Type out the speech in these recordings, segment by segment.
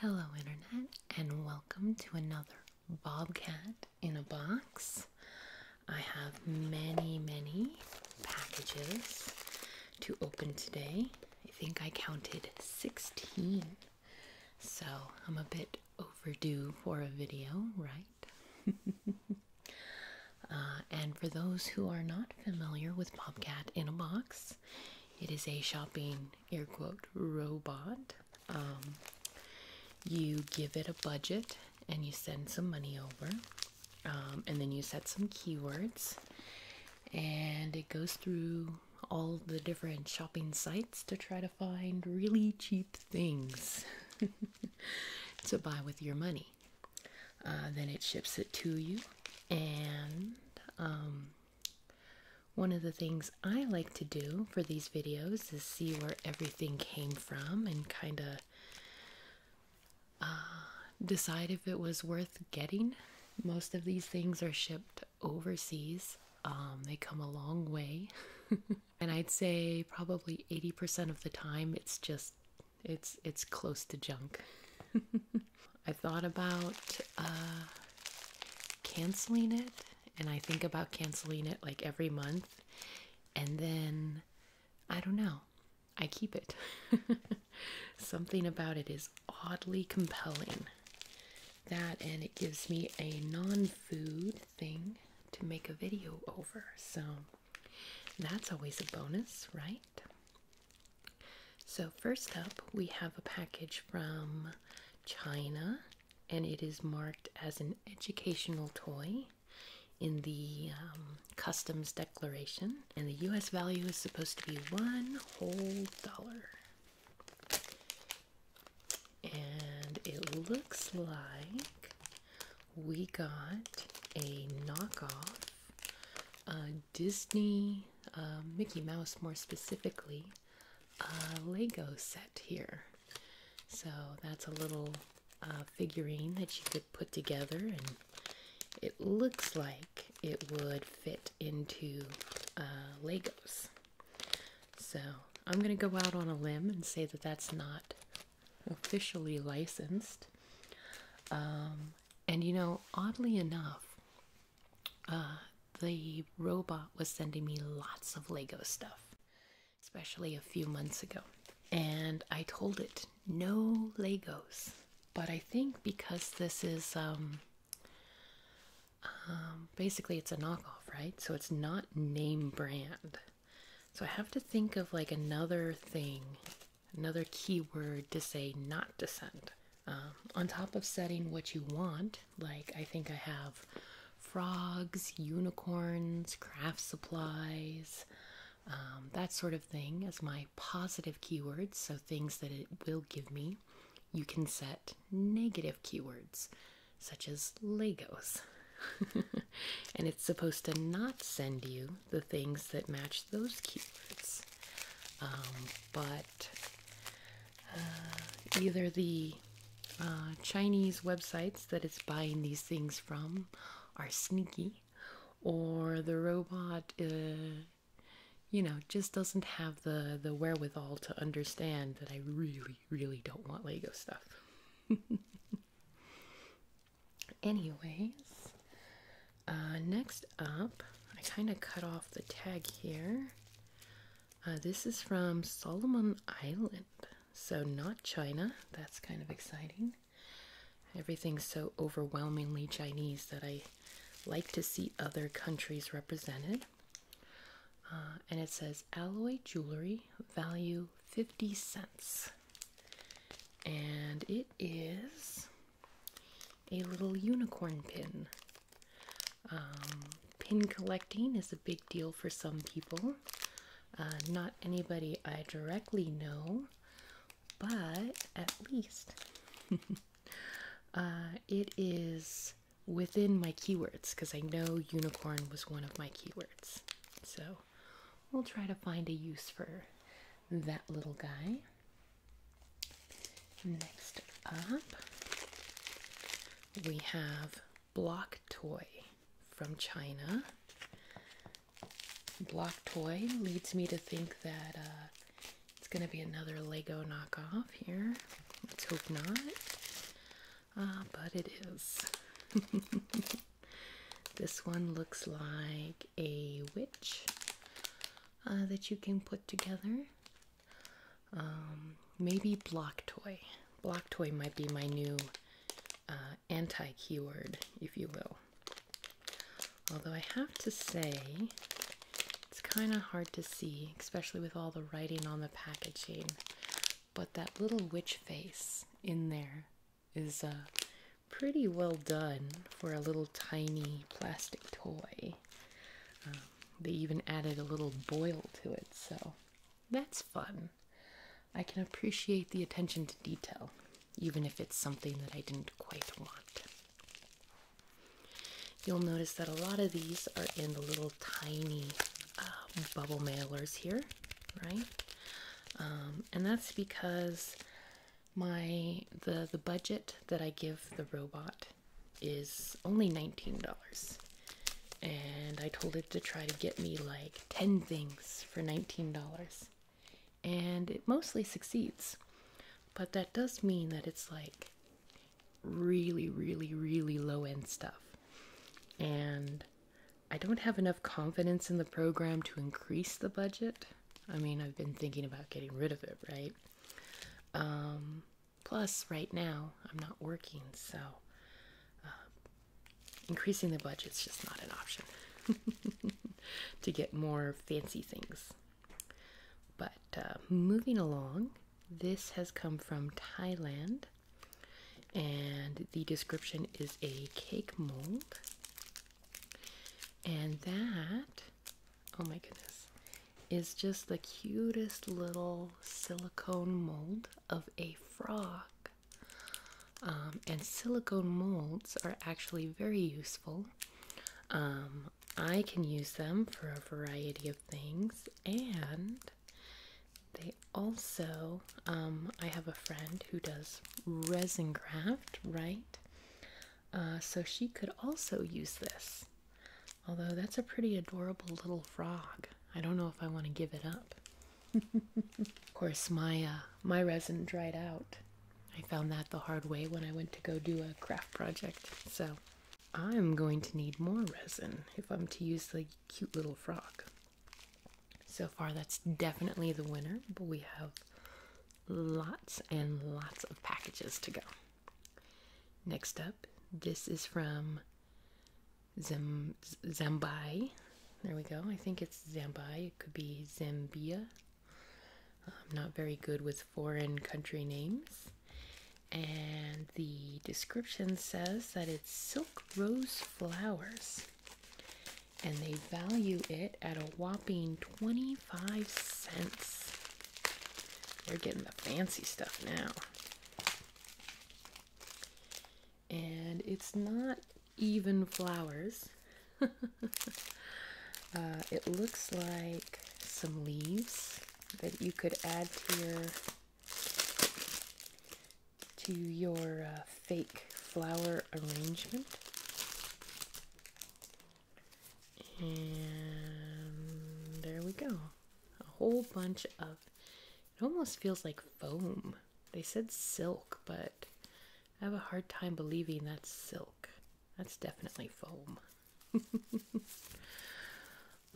Hello, Internet, and welcome to another Bobcat in a Box. I have many, many packages to open today. I think I counted 16, so I'm a bit overdue for a video, right? Uh, and for those who are not familiar with Bobcat in a Box, it is a shopping air quote robot. Um, you give it a budget and you send some money over, um, and then you set some keywords, and it goes through all the different shopping sites to try to find really cheap things to buy with your money. Uh, then it ships it to you, and um, one of the things I like to do for these videos is see where everything came from and kind of uh, decide if it was worth getting. Most of these things are shipped overseas, um, they come a long way. and I'd say probably 80% of the time it's just it's it's close to junk. I thought about uh, canceling it, and I think about canceling it like every month, and then I don't know, I keep it. Something about it is oddly compelling. That and it gives me a non food thing to make a video over, so that's always a bonus, right? So, first up, we have a package from China and it is marked as an educational toy in the um, customs declaration, and the US value is supposed to be one whole dollar. And it looks like we got a knockoff uh, Disney, uh, Mickey Mouse more specifically, uh, Lego set here. So that's a little uh, figurine that you could put together, and it looks like it would fit into uh, Legos. So I'm going to go out on a limb and say that that's not officially licensed. Um, and you know, oddly enough, uh, the robot was sending me lots of Lego stuff, especially a few months ago. And I told it no Legos. But I think because this is um, um, basically it's a knockoff, right? So it's not name brand. So I have to think of like another thing, another keyword to say not to send. Uh, on top of setting what you want, like I think I have frogs, unicorns, craft supplies, um, that sort of thing as my positive keywords, so things that it will give me. You can set negative keywords, such as Legos. and it's supposed to not send you the things that match those keywords. Um, but uh, either the uh, Chinese websites that it's buying these things from are sneaky, or the robot, uh, you know, just doesn't have the the wherewithal to understand that I really, really don't want Lego stuff. Anyways, uh, next up, I kind of cut off the tag here. Uh, this is from Solomon Island, so not China. That's kind of exciting. Everything's so overwhelmingly Chinese that I like to see other countries represented. Uh, and it says alloy jewelry, value 50 cents. And it is a little unicorn pin. Um, pin collecting is a big deal for some people. Uh, not anybody I directly know, but at least uh, it is within my keywords because I know unicorn was one of my keywords. So we'll try to find a use for that little guy. Next up, we have Block Toy from China. Block Toy leads me to think that uh, it's going to be another Lego knockoff here. Let's hope not. Uh, but it is. this one looks like a witch uh, that you can put together. Um, maybe block toy. Block toy might be my new uh, anti keyword, if you will. Although I have to say, it's kind of hard to see, especially with all the writing on the packaging. But that little witch face in there is uh, pretty well done for a little tiny plastic toy. Um, they even added a little boil to it, so that's fun. I can appreciate the attention to detail, even if it's something that I didn't quite want. You'll notice that a lot of these are in the little tiny uh, bubble mailers here, right? Um, and that's because my the the budget that I give the robot is only $19 and I told it to try to get me like 10 things for $19 and it mostly succeeds but that does mean that it's like really really really low end stuff and I don't have enough confidence in the program to increase the budget I mean I've been thinking about getting rid of it right um, plus, right now I'm not working, so uh, increasing the budget is just not an option to get more fancy things. But uh, moving along, this has come from Thailand, and the description is a cake mold, and that oh my goodness, is just the cutest little silicone mold of a frog. Um, and silicone molds are actually very useful. Um, I can use them for a variety of things, and they also, um, I have a friend who does resin craft, right? Uh, so she could also use this. Although that's a pretty adorable little frog. I don't know if I want to give it up. of course, my uh, my resin dried out. I found that the hard way when I went to go do a craft project. So I'm going to need more resin if I'm to use the cute little frog. So far, that's definitely the winner, but we have lots and lots of packages to go. Next up, this is from Zim Zambai. There we go. I think it's Zambia. It could be Zambia. I'm um, not very good with foreign country names. And the description says that it's silk rose flowers. And they value it at a whopping twenty. Five cents. They're getting the fancy stuff now. And it's not even flowers. Uh, it looks like some leaves that you could add to your to your uh, fake flower arrangement. And there we go. A whole bunch of it almost feels like foam. They said silk, but I have a hard time believing that's silk. That's definitely foam.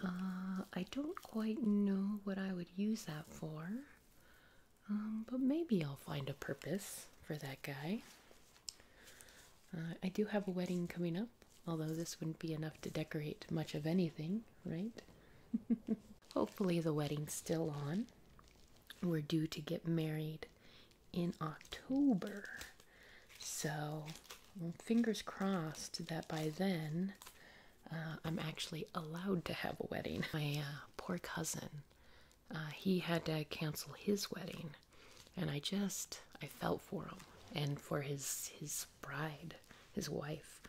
Uh, I don't quite know what I would use that for, um, but maybe I'll find a purpose for that guy. Uh, I do have a wedding coming up, although this wouldn't be enough to decorate much of anything, right? Hopefully, the wedding's still on. We're due to get married in October. So, fingers crossed that by then uh, I'm actually allowed to have a wedding. My uh, poor cousin uh, he had to cancel his wedding, and I just I felt for him and for his his bride, his wife,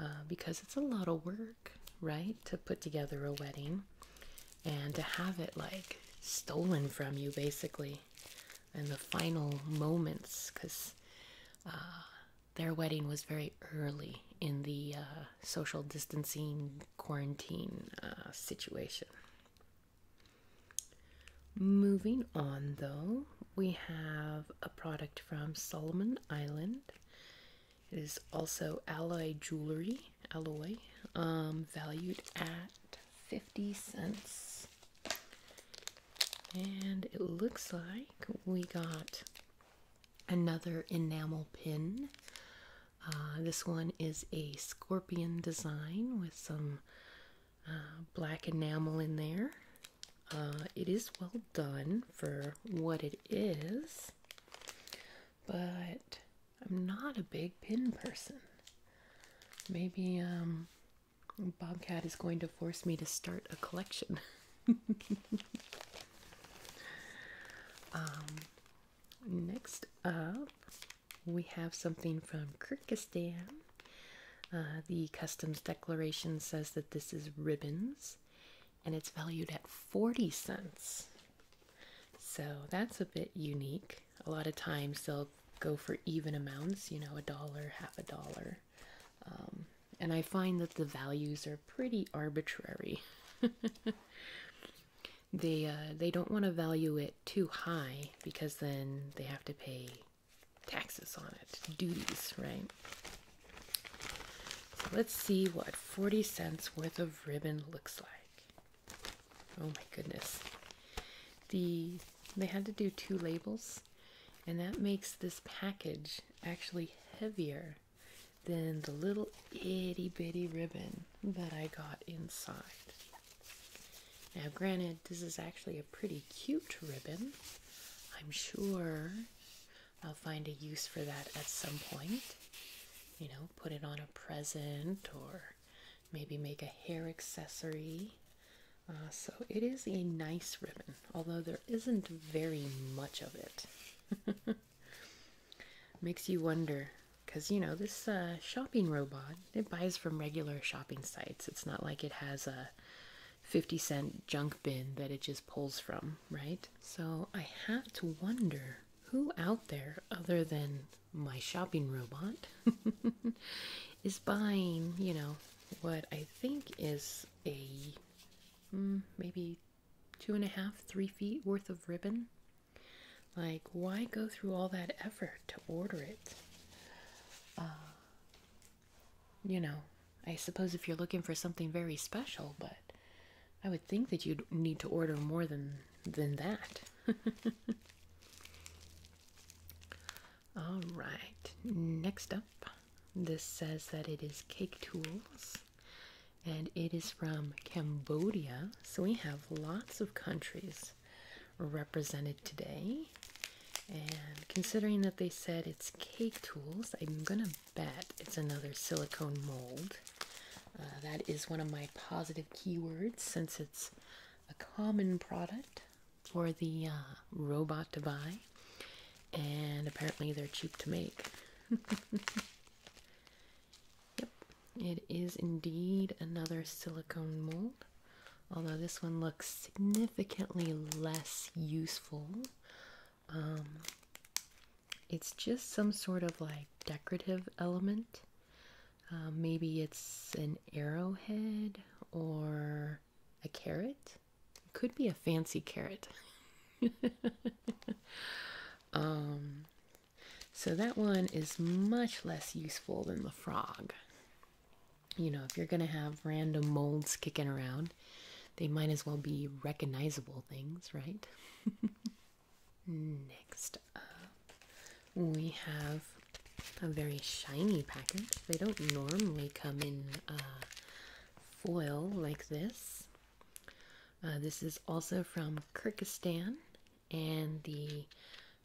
uh, because it's a lot of work, right, to put together a wedding, and to have it like stolen from you basically, in the final moments, because. Uh, their wedding was very early in the social distancing quarantine situation. Moving on, though, we have a product from Solomon Island. It is also alloy jewelry, alloy, um, valued at 50 cents. And it looks like we got another enamel pin. Uh, this one is a scorpion design with some uh, black enamel in there. Uh, it is well done for what it is, but I'm not a big pin person. Maybe um, Bobcat is going to force me to start a collection. Um, Next up, we have something from Kyrgyzstan. Uh, the customs declaration says that this is ribbons and it's valued at 40 cents. So that's a bit unique. A lot of times they'll go for even amounts, you know, a dollar, half a dollar. Um, and I find that the values are pretty arbitrary. they uh, they don't want to value it too high because then they have to pay taxes on it, duties, right? So let's see what 40 cents worth of ribbon looks like. Oh my goodness. The they had to do two labels and that makes this package actually heavier than the little itty bitty ribbon that I got inside. Now, granted, this is actually a pretty cute ribbon. I'm sure I'll find a use for that at some point. You know, put it on a present or maybe make a hair accessory. Uh, so it is a nice ribbon, although there isn't very much of it. Makes you wonder because you know this uh, shopping robot it buys from regular shopping sites it's not like it has a 50 cent junk bin that it just pulls from right so i have to wonder who out there other than my shopping robot is buying you know what i think is a hmm, maybe two and a half three feet worth of ribbon like, why go through all that effort to order it? Uh, you know, I suppose if you're looking for something very special, but I would think that you'd need to order more than than that. all right. Next up, this says that it is cake tools and it is from Cambodia. So we have lots of countries represented today. And considering that they said it's cake tools, I'm gonna bet it's another silicone mold. Uh, that is one of my positive keywords since it's a common product for the uh, robot to buy, and apparently they're cheap to make. Yep, it is indeed another silicone mold, although this one looks significantly less useful. Um, it's just some sort of like decorative element. Uh, maybe it's an arrowhead or a carrot. It could be a fancy carrot. Um, so that one is much less useful than the frog. You know, if you're going to have random molds kicking around, they might as well be recognizable things, right? Next up, we have a very shiny package. They don't normally come in uh, foil like this. Uh, this is also from Kyrgyzstan and the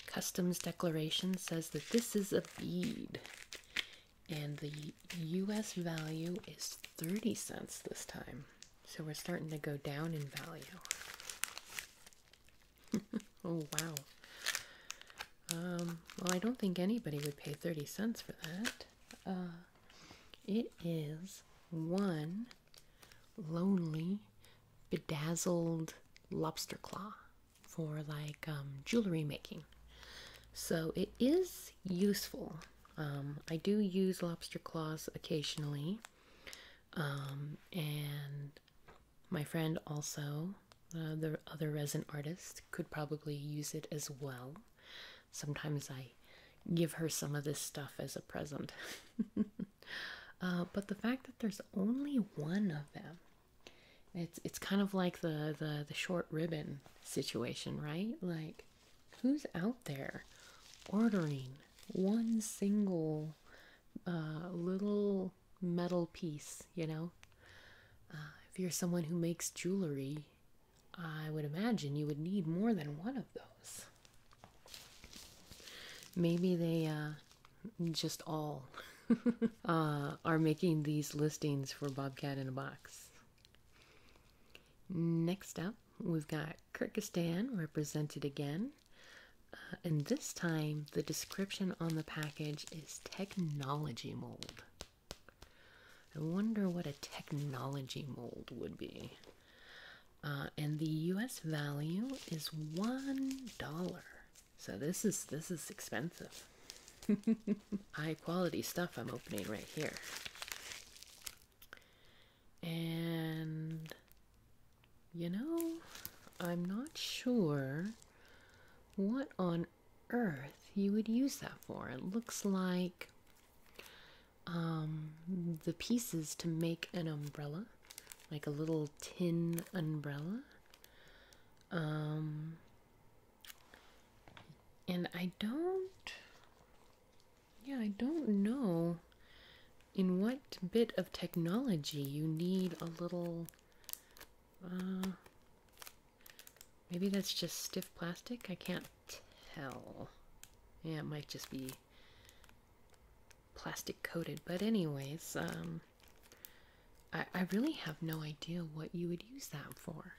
customs declaration says that this is a bead and the US value is 30 cents this time. So we're starting to go down in value. oh wow. Um, well, I don't think anybody would pay 30 cents for that. Uh, it is one lonely bedazzled lobster claw for like um, jewelry making. So it is useful. Um, I do use lobster claws occasionally. Um, and my friend also, the other resin artist, could probably use it as well. Sometimes I give her some of this stuff as a present. Uh, but the fact that there's only one of them, it's it's kind of like the the the short ribbon situation, right? Like, who's out there ordering one single uh, little metal piece? You know, uh, if you're someone who makes jewelry, I would imagine you would need more than one of those. Maybe they uh, just all uh, are making these listings for Bobcat in a Box. Next up, we've got Kyrgyzstan represented again. Uh, and this time, the description on the package is technology mold. I wonder what a technology mold would be. Uh, and the U.S. value is one dollar. So this is this is expensive. High quality stuff I'm opening right here. And you know, I'm not sure what on earth you would use that for. It looks like um, the pieces to make an umbrella like a little tin umbrella. Um, and I don't, yeah, I don't know in what bit of technology you need a little, uh, maybe that's just stiff plastic. I can't tell. Yeah, it might just be plastic coated. But anyways, um, I, I really have no idea what you would use that for.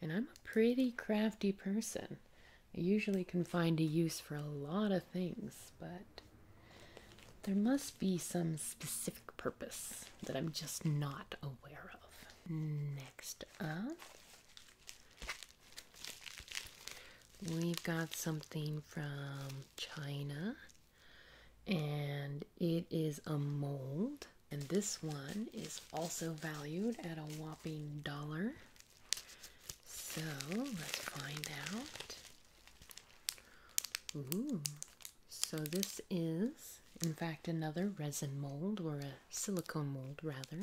And I'm a pretty crafty person. I usually can find a use for a lot of things, but there must be some specific purpose that I'm just not aware of. Next up We've got something from China, and it is a mold. And this one is also valued at a whopping dollar. So let's find out. Ooh. So this is, in fact, another resin mold or a silicone mold rather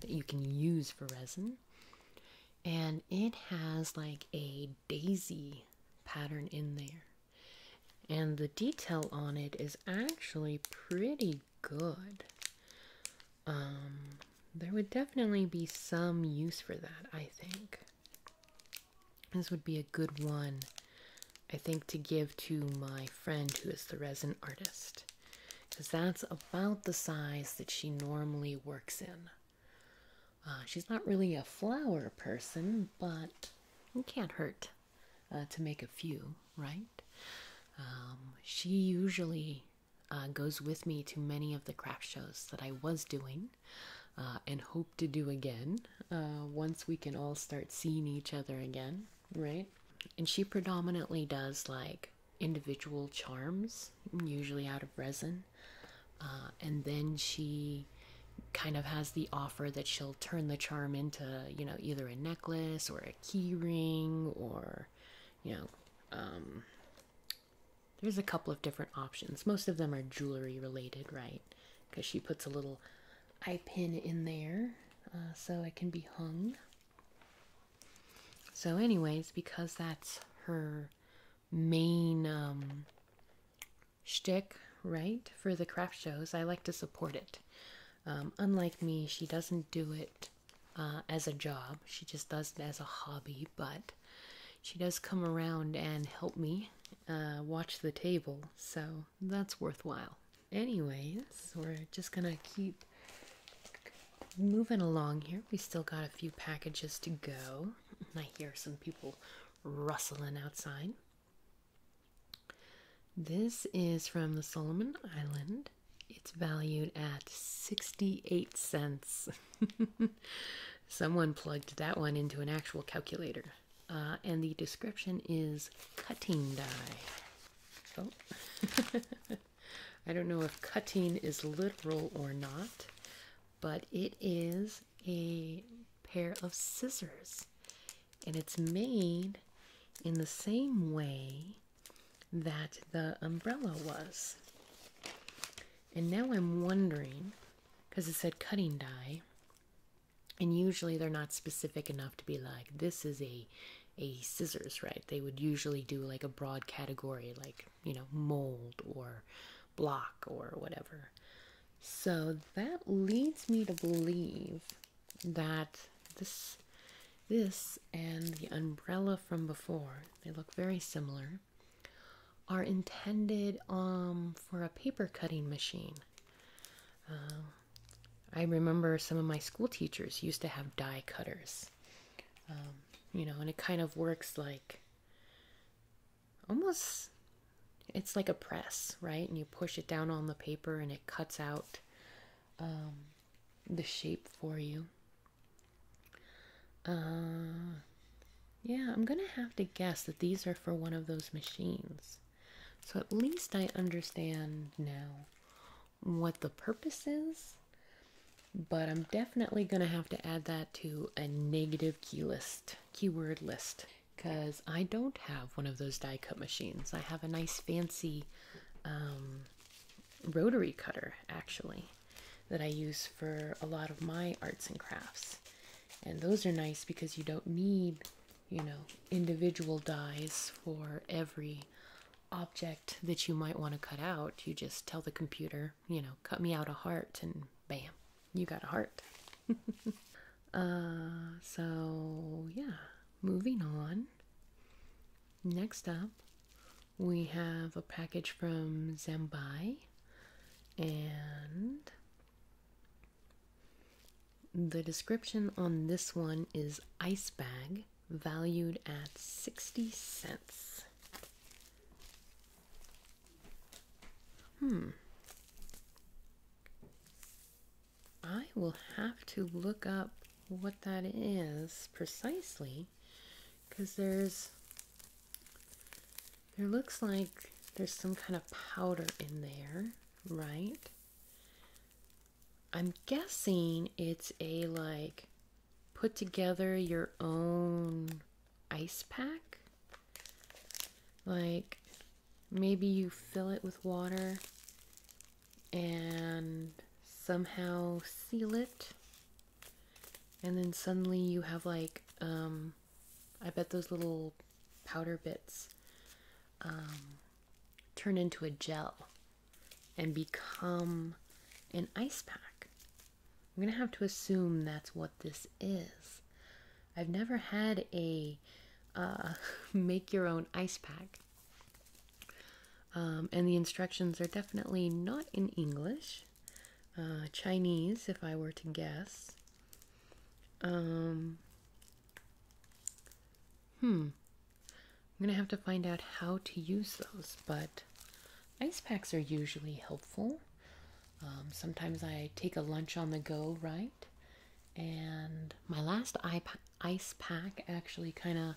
that you can use for resin and it has like a daisy pattern in there. And the detail on it is actually pretty good. Um, there would definitely be some use for that, I think. This would be a good one, I think, to give to my friend who is the resin artist because that's about the size that she normally works in. Uh, she's not really a flower person, but it can't hurt uh, to make a few, right? Um, she usually uh, goes with me to many of the craft shows that I was doing and hope to do again once we can all start seeing each other again, right? And she predominantly does like individual charms, usually out of resin. Uh, and then she kind of has the offer that she'll turn the charm into, you know, either a necklace or a keyring or, you know, um, there's a couple of different options. Most of them are jewelry related, right? Because she puts a little eye pin in there uh, so it can be hung. So, anyways, because that's her main um, shtick, right, for the craft shows, I like to support it. Um, unlike me, she doesn't do it uh, as a job, she just does it as a hobby, but she does come around and help me uh, watch the table, so that's worthwhile. Anyways, we're just gonna keep Moving along here, we still got a few packages to go. I hear some people rustling outside. This is from the Solomon Island. It's valued at 68 cents. Someone plugged that one into an actual calculator. Uh, and the description is cutting die. Oh. I don't know if cutting is literal or not, but it is a pair of scissors. And it's made in the same way that the umbrella was. And now I'm wondering, because it said cutting die, and usually they're not specific enough to be like, this is a a scissors, right? They would usually do like a broad category like you know, mold or block or whatever. So that leads me to believe that this this and the umbrella from before, they look very similar, are intended um, for a paper cutting machine. Uh, I remember some of my school teachers used to have die cutters. Um, you know, and it kind of works like almost it's like a press, right? And you push it down on the paper and it cuts out um, the shape for you. Uh, yeah, I'm gonna have to guess that these are for one of those machines. So at least I understand now what the purpose is, but I'm definitely going to have to add that to a negative key list, keyword list, because I don't have one of those die cut machines. I have a nice fancy um, rotary cutter actually that I use for a lot of my arts and crafts. And those are nice because you don't need, you know, individual dies for every object that you might want to cut out, you just tell the computer, you know, cut me out a heart, and bam, you got a heart. Uh, so, yeah, moving on. Next up, we have a package from Zambai, and the description on this one is ice bag valued at 60 cents. Hmm. I will have to look up what that is precisely because there's there looks like there's some kind of powder in there, right? I'm guessing it's a like put together your own ice pack. Like maybe you fill it with water and somehow seal it. And then suddenly you have like, um, I bet those little powder bits um, turn into a gel and become an ice pack. I'm going to have to assume that's what this is. I've never had a uh, make your own ice pack. Um, and the instructions are definitely not in English, uh, Chinese, if I were to guess. Um, hmm, I'm going to have to find out how to use those, but ice packs are usually helpful. Um, sometimes I take a lunch on the go, right? And my last ice pack actually kind of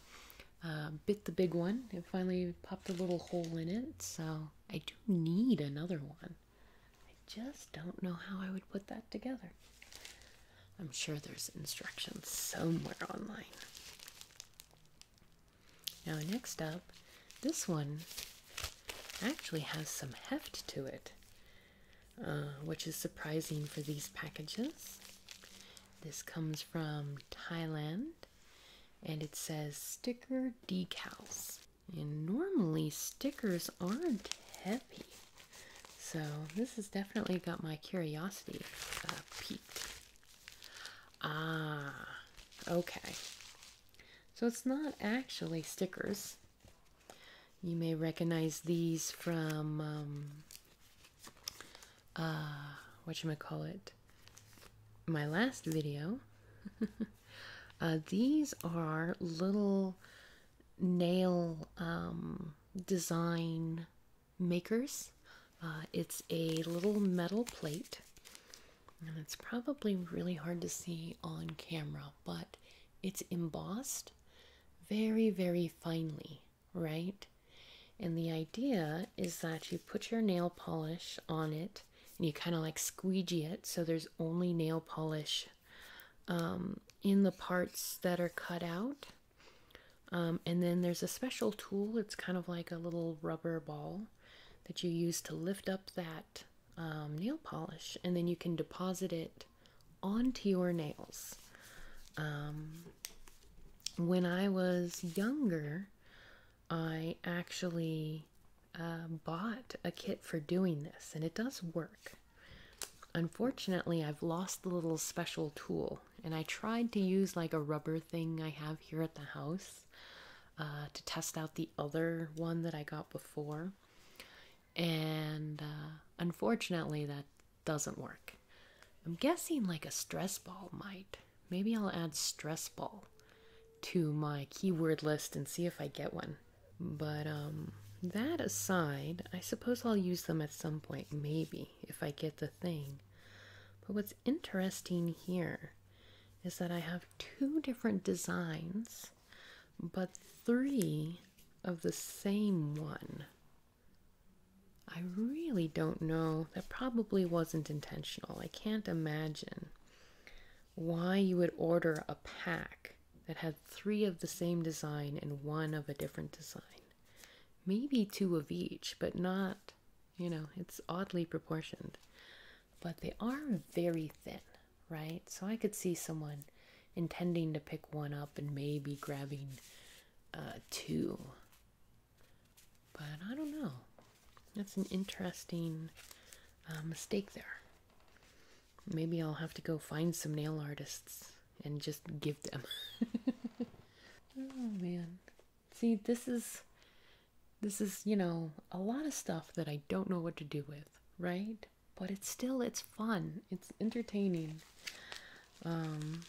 uh, bit the big one. It finally popped a little hole in it, so I do need another one. I just don't know how I would put that together. I'm sure there's instructions somewhere online. Now, next up, this one actually has some heft to it, uh, which is surprising for these packages. This comes from Thailand and it says sticker decals. And normally, stickers aren't heavy, so this has definitely got my curiosity uh, peaked. Ah, okay. So it's not actually stickers. You may recognize these from um, uh, what you call it. My last video. Uh, these are little nail um, design makers. Uh, it's a little metal plate, and it's probably really hard to see on camera, but it's embossed very, very finely, right? And the idea is that you put your nail polish on it and you kind of like squeegee it so there's only nail polish um, in the parts that are cut out um, and then there's a special tool, it's kind of like a little rubber ball that you use to lift up that um, nail polish, and then you can deposit it onto your nails. Um, when I was younger, I actually uh, bought a kit for doing this, and it does work. Unfortunately, I've lost the little special tool and I tried to use like a rubber thing I have here at the house uh, to test out the other one that I got before, and uh, unfortunately, that doesn't work. I'm guessing like a stress ball might. Maybe I'll add stress ball to my keyword list and see if I get one. But um, that aside, I suppose I'll use them at some point, maybe if I get the thing. But what's interesting here is that I have two different designs, but three of the same one. I really don't know. That probably wasn't intentional. I can't imagine why you would order a pack that had three of the same design and one of a different design. Maybe two of each, but not you know, it's oddly proportioned, but they are very thin, right? So I could see someone intending to pick one up and maybe grabbing uh, two. But I don't know. That's an interesting uh, mistake there. Maybe I'll have to go find some nail artists and just give them. oh man. See, this is this is, you know, a lot of stuff that I don't know what to do with, right? But it's still it's fun. It's entertaining. Um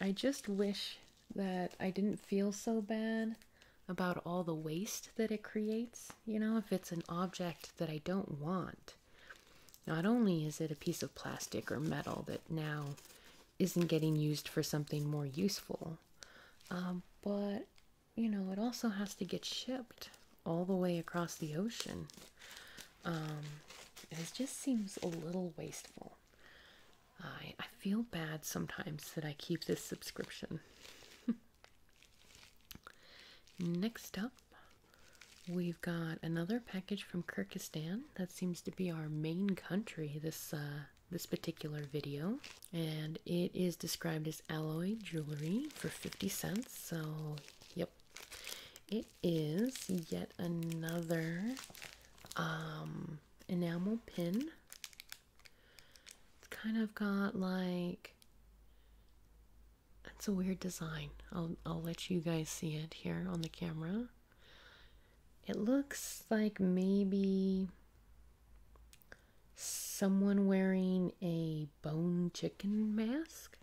I just wish that I didn't feel so bad about all the waste that it creates, you know, if it's an object that I don't want. Not only is it a piece of plastic or metal that now isn't getting used for something more useful. Um, but, you know, it also has to get shipped all the way across the ocean. Um, it just seems a little wasteful. I, I feel bad sometimes that I keep this subscription. Next up, we've got another package from Kyrgyzstan seems to be our main country this uh, this particular video, and it is described as alloy jewelry for 50 cents. So, yep, it is yet another um, enamel pin. It's kind of got like that's a weird design. I'll I'll let you guys see it here on the camera. It looks like maybe someone wearing a bone chicken mask.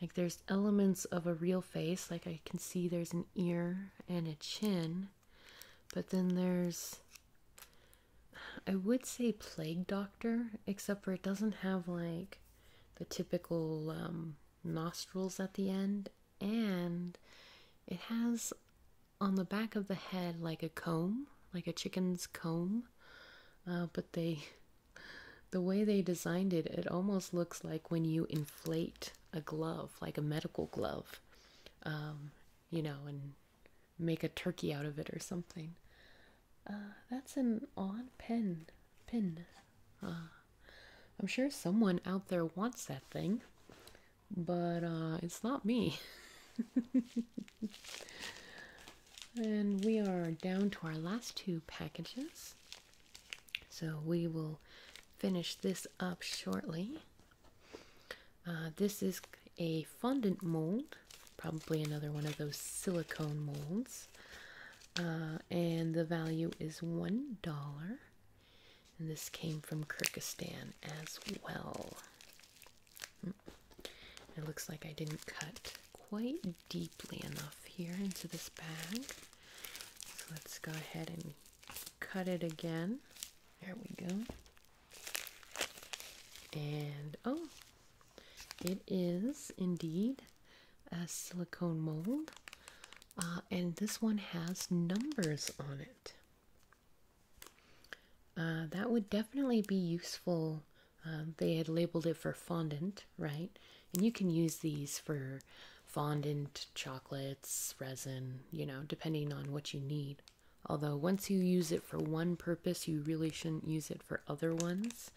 Like there's elements of a real face, like I can see there's an ear and a chin, but then there's I would say plague doctor, except for it doesn't have like the typical um, nostrils at the end, and it has on the back of the head like a comb, like a chicken's comb. Uh, but they, the way they designed it, it almost looks like when you inflate a glove, like a medical glove, um, you know, and make a turkey out of it or something. Uh, that's an odd pen. Pin. Uh, I'm sure someone out there wants that thing, but uh, it's not me. and we are down to our last two packages. So we will finish this up shortly. Uh, this is a fondant mold, probably another one of those silicone molds. Uh, and the value is $1. And this came from Kyrgyzstan as well. Hmm. It looks like I didn't cut quite deeply enough here into this bag. So let's go ahead and cut it again. There we go. And oh, it is indeed a silicone mold. Uh, and this one has numbers on it. Uh, that would definitely be useful. Um, they had labeled it for fondant, right? And you can use these for fondant, chocolates, resin, you know, depending on what you need. Although, once you use it for one purpose, you really shouldn't use it for other ones.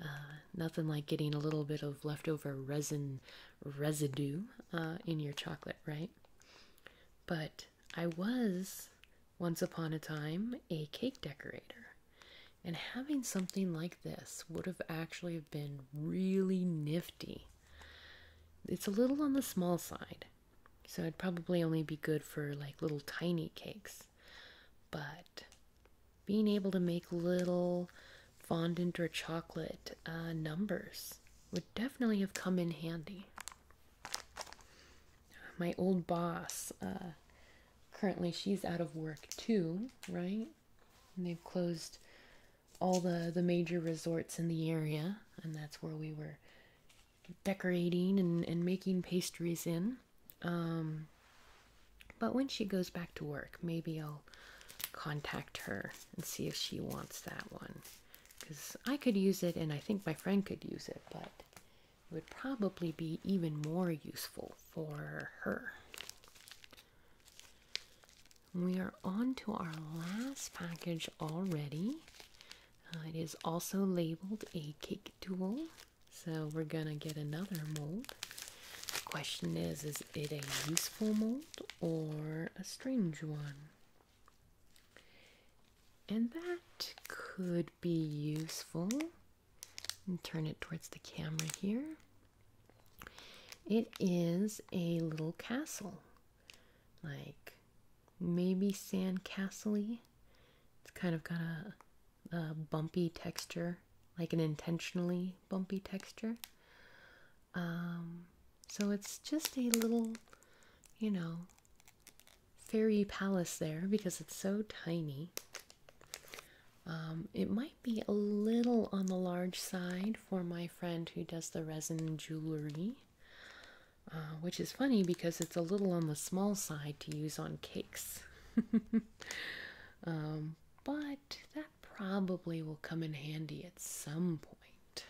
Uh, nothing like getting a little bit of leftover resin residue uh, in your chocolate, right? But I was once upon a time a cake decorator, and having something like this would have actually been really nifty. It's a little on the small side, so it'd probably only be good for like little tiny cakes. But being able to make little fondant or chocolate uh, numbers would definitely have come in handy. My old boss, uh, currently she's out of work too, right? And they've closed all the, the major resorts in the area, and that's where we were decorating and, and making pastries in. Um, but when she goes back to work, maybe I'll contact her and see if she wants that one. Because I could use it, and I think my friend could use it, but it would probably be even more useful for her. We are on to our last package already. Uh, it is also labeled a cake tool, so we're gonna get another mold. The question is, is it a useful mold or a strange one. And that could be useful. And turn it towards the camera here. It is a little castle, like maybe sand castle It's kind of got a bumpy texture, like an intentionally bumpy, texture. Um, so it's just a little, you know, fairy palace there because it's so tiny. Um, it might be a little on the large side for my friend who does the resin jewelry, uh, which is funny because it's a little on the small side to use on cakes. Um, but that probably will come in handy at some point.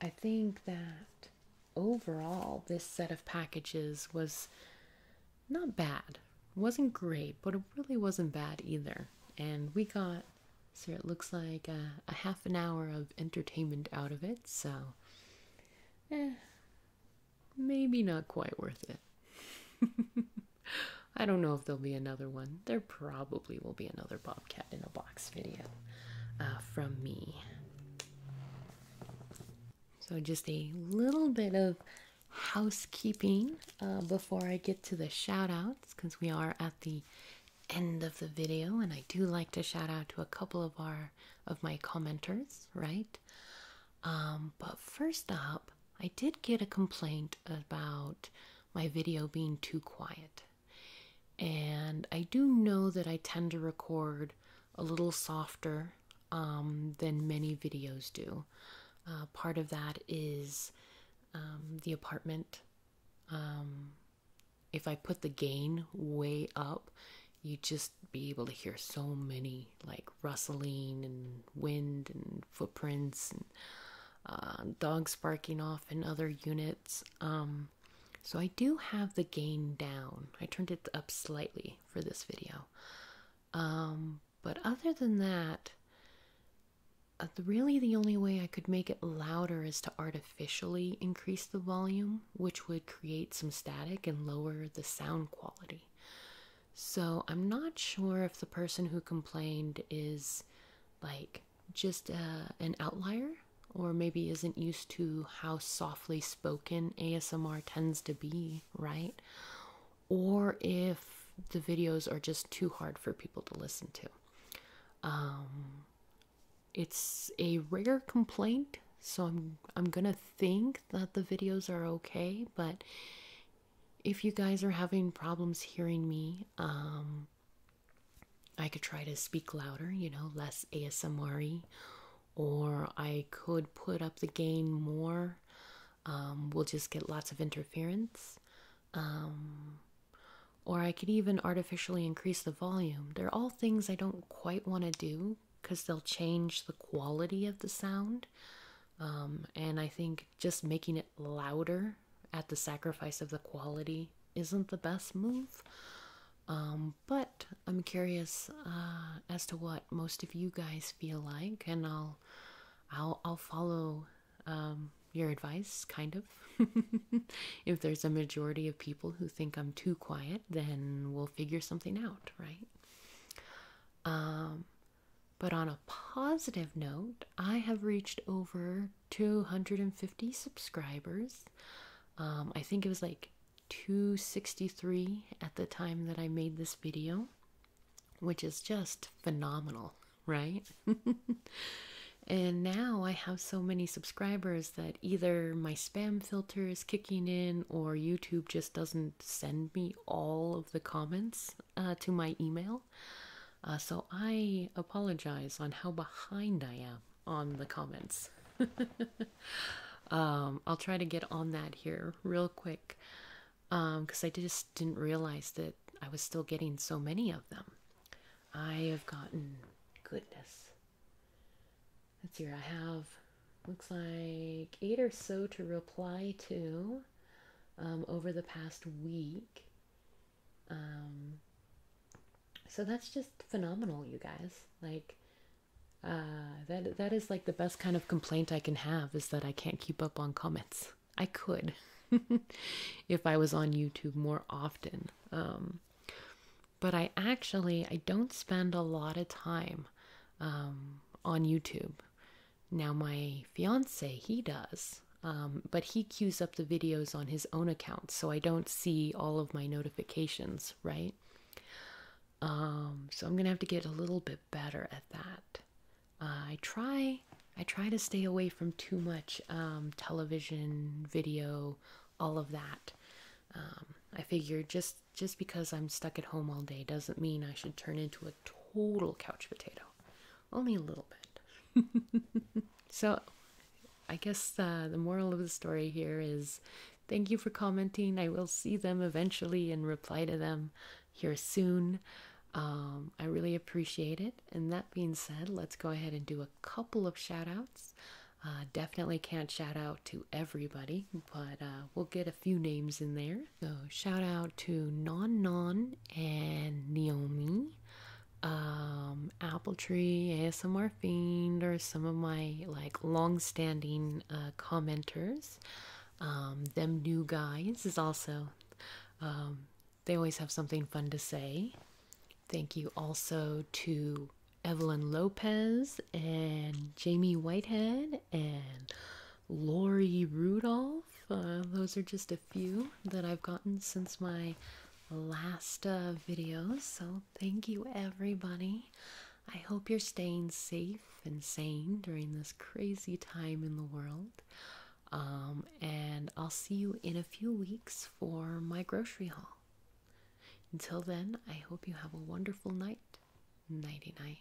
I think that overall, this set of packages was not bad. wasn't great, but it really wasn't bad either. And we got, so it looks like uh, a, half an hour of entertainment out of it, so eh, maybe not quite worth it. I don't know if there'll be another one. There probably will be another Bobcat in a Box video uh, from me. So, just a little bit of housekeeping uh, before I get to the shout outs because we are at the end of the video and I do like to shout out to a couple of our of my commenters, right? Um, but first up, I did get a complaint about my video being too quiet. And I do know that I tend to record a little softer um, than many videos do. Uh, part of that is um, the apartment. Um, if I put the gain way up, you just be able to hear so many like rustling and wind and footprints and uh, dogs barking off in other units. Um, so I do have the gain down. I turned it up slightly for this video. Um, but other than that, uh, really the only way I could make it louder is to artificially increase the volume, which would create some static and lower the sound quality. So I'm not sure if the person who complained is like just uh, an outlier or maybe isn't used to how softly spoken ASMR tends to be, right? Or if the videos are just too hard for people to listen to. Um, it's a rare complaint, so I'm I'm gonna think that the videos are okay, but if you guys are having problems hearing me, um, I could try to speak louder, you know, less ASMR or I could put up the gain more. Um, we'll just get lots of interference. Um, or I could even artificially increase the volume. They're all things I don't quite want to do because they'll change the quality of the sound. and I think just making it louder at the sacrifice of the quality isn't the best move. Um, but I'm curious uh, as to what most of you guys feel like, and I'll I'll I'll follow um, your advice, kind of. if there's a majority of people who think I'm too quiet, then we'll figure something out, right? Um, but on a positive note, I have reached over 250 subscribers. Um, I think it was like 263 at the time that I made this video, which is just phenomenal, right? and now I have so many subscribers that either my spam filter is kicking in or YouTube just doesn't send me all of the comments uh, to my email. Uh, so I apologize on how behind I am on the comments. um, I'll try to get on that here real quick because um, I just didn't realize that I was still getting so many of them. I have gotten goodness. Let's see here. I have looks like eight or so to reply to. Um, over the past week. Um, so that's just phenomenal, you guys. Like, uh, that that is like the best kind of complaint I can have is that I can't keep up on comments. I could, if I was on YouTube more often. Um, but I actually I don't spend a lot of time on YouTube. Now, my fiance, he does, um, but he queues up the videos on his own account, so I don't see all of my notifications, right? Um, so I'm gonna have to get a little bit better at that. Uh, I try, I try to stay away from too much um, television, video, all of that. I figure just just because I'm stuck at home all day doesn't mean I should turn into a total couch potato only a little bit. so, I guess the moral of the story here is thank you for commenting. I will see them eventually and reply to them here soon. Um, I really appreciate it. And that being said, let's go ahead and do a couple of shout outs. Uh, definitely can't shout out to everybody, but uh, we'll get a few names in there. So shout out to Non Non and Naomi, um, Apple Tree, ASMR Fiend are some of my like long-standing uh, commenters. Um, them new guys is also. Um, they always have something fun to say. Thank you also to Evelyn Lopez and Jamie Whitehead and Laurie Rudolph uh, those are just a few that I've gotten since my last uh, videos. So, thank you everybody. I hope you're staying safe and sane during this crazy time in the world. Um, and I'll see you in a few weeks for my grocery haul. Until then, I hope you have a wonderful night. Nighty night.